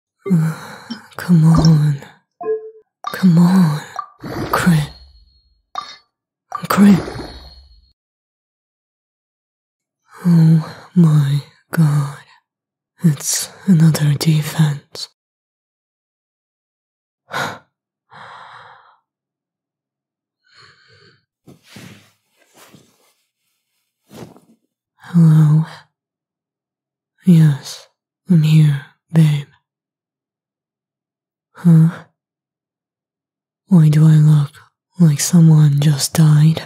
Come on. Come on. Crit. Crit. Oh my god. It's another defense. Hello. Yes, I'm here, babe. Huh? Why do I look like someone just died?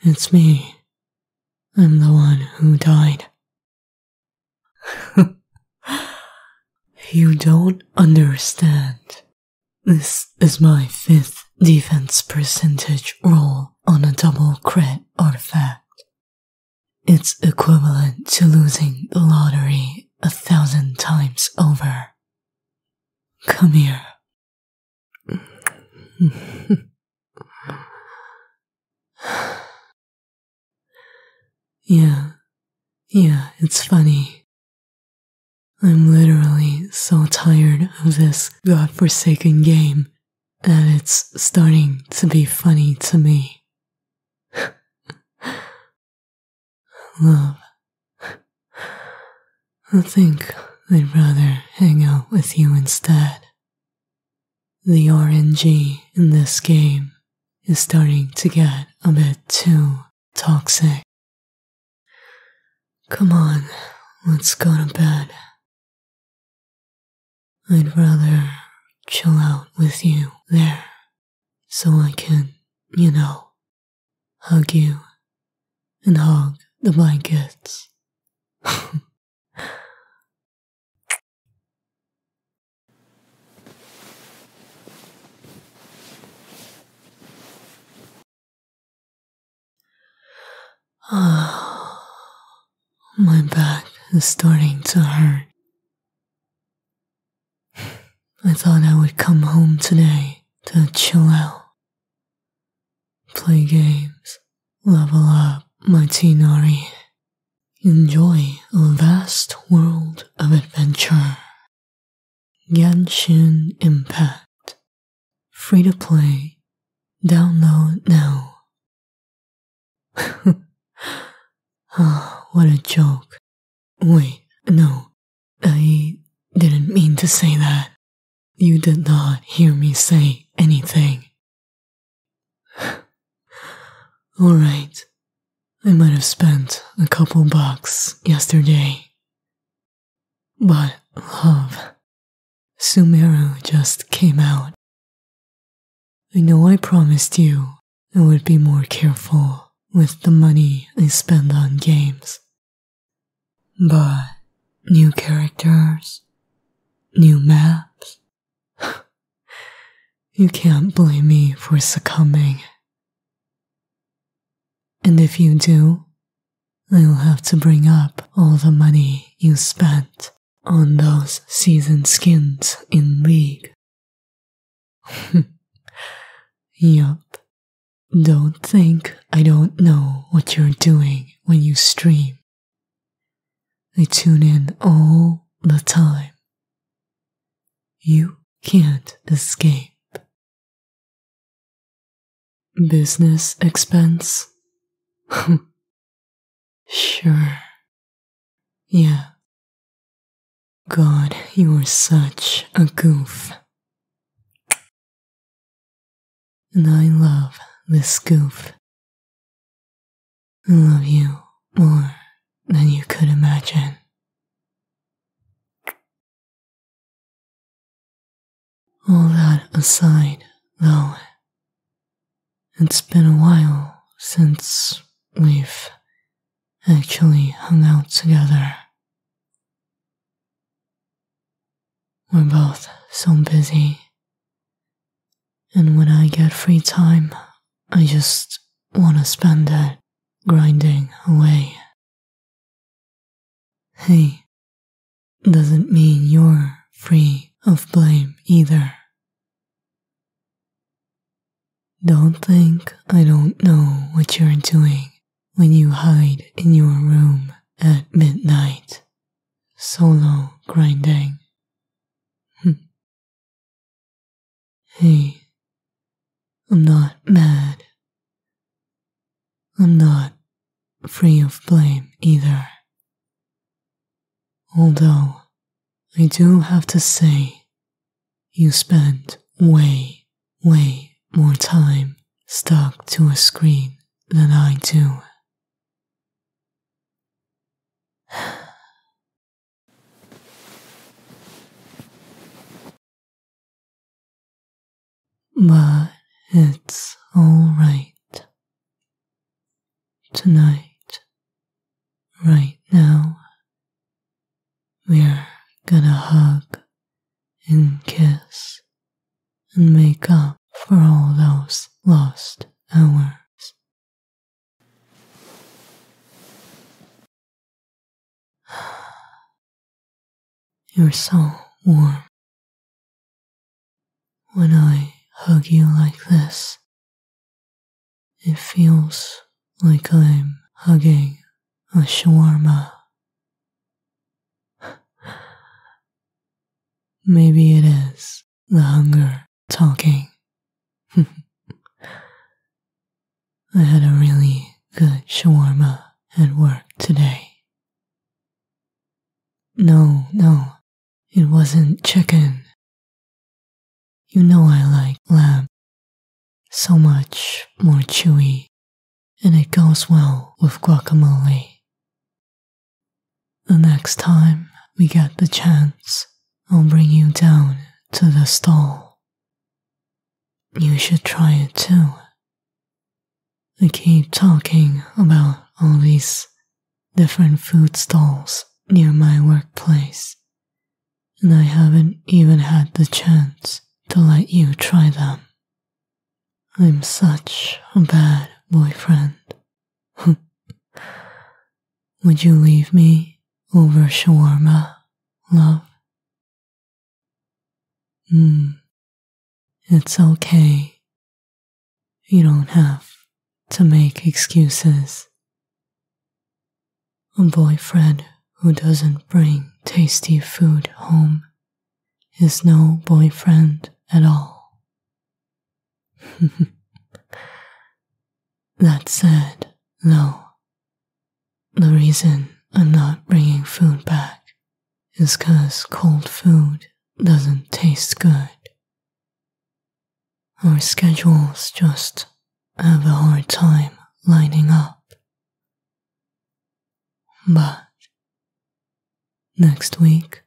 It's me. I'm the one who died. you don't understand. This is my fifth defense percentage roll on a double crit artifact. It's equivalent to losing the lottery a thousand times over. Come here. yeah, yeah, it's funny. I'm literally so tired of this godforsaken game that it's starting to be funny to me. Love. I think I'd rather hang out with you instead. The RNG in this game is starting to get a bit too toxic. Come on, let's go to bed. I'd rather chill out with you there so I can, you know, hug you and hog the blankets. Oh, my back is starting to hurt. I thought I would come home today to chill out, play games, level up my Tinari, enjoy a vast world of adventure Genshin Impact. Free to play. Download now. Ah, what a joke. Wait, no. I didn't mean to say that. You did not hear me say anything. Alright, I might have spent a couple bucks yesterday. But love, Sumero just came out. I know I promised you I would be more careful with the money I spend on games. But new characters, new maps, you can't blame me for succumbing. And if you do, I'll have to bring up all the money you spent on those season skins in League. yup. Don't think I don't know what you're doing when you stream. I tune in all the time. You can't escape. Business expense? sure. Yeah. God, you are such a goof. And I love this goof love you more than you could imagine. All that aside, though, it's been a while since we've actually hung out together. We're both so busy and when I get free time, I just want to spend it grinding away. Hey, doesn't mean you're free of blame either. Don't think I don't know what you're doing when you hide in your room at midnight, solo grinding Hmm. hey, I'm not mad. I'm not free of blame either. Although, I do have to say, you spend way, way more time stuck to a screen than I do but it's all right. Tonight, right now, we're gonna hug and kiss and make up for all those lost hours. You're so warm. When I hug you like this, it feels like I'm hugging a shawarma. Maybe it is the hunger talking. I had a really good shawarma at work today. No, no, it wasn't chicken. You know I like lamb. So much more chewy and it goes well with guacamole. The next time we get the chance, I'll bring you down to the stall. You should try it too. I keep talking about all these different food stalls near my workplace, and I haven't even had the chance to let you try them. I'm such a bad boyfriend. Would you leave me over shawarma, love? Mm, it's okay. You don't have to make excuses. A boyfriend who doesn't bring tasty food home is no boyfriend at all. that said, though, the reason I'm not bringing food back is because cold food doesn't taste good. Our schedules just have a hard time lining up, but next week,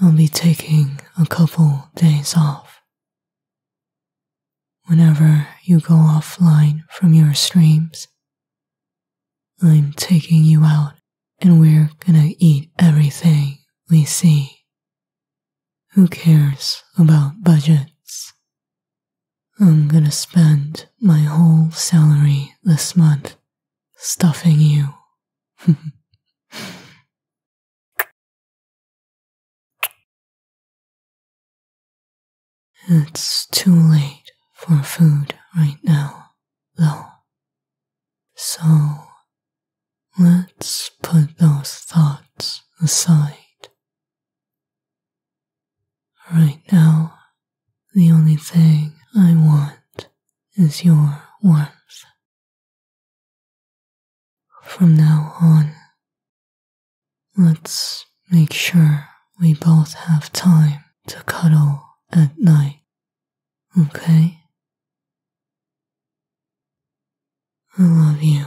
I'll be taking a couple days off. Whenever you go offline from your streams, I'm taking you out and we're gonna eat everything we see. Who cares about budgets? I'm gonna spend my whole salary this month stuffing you. it's too late for food right now, though. So let's put those thoughts aside Right now, the only thing I want is your warmth. From now on, let's make sure we both have time to cuddle at night, okay? I love you.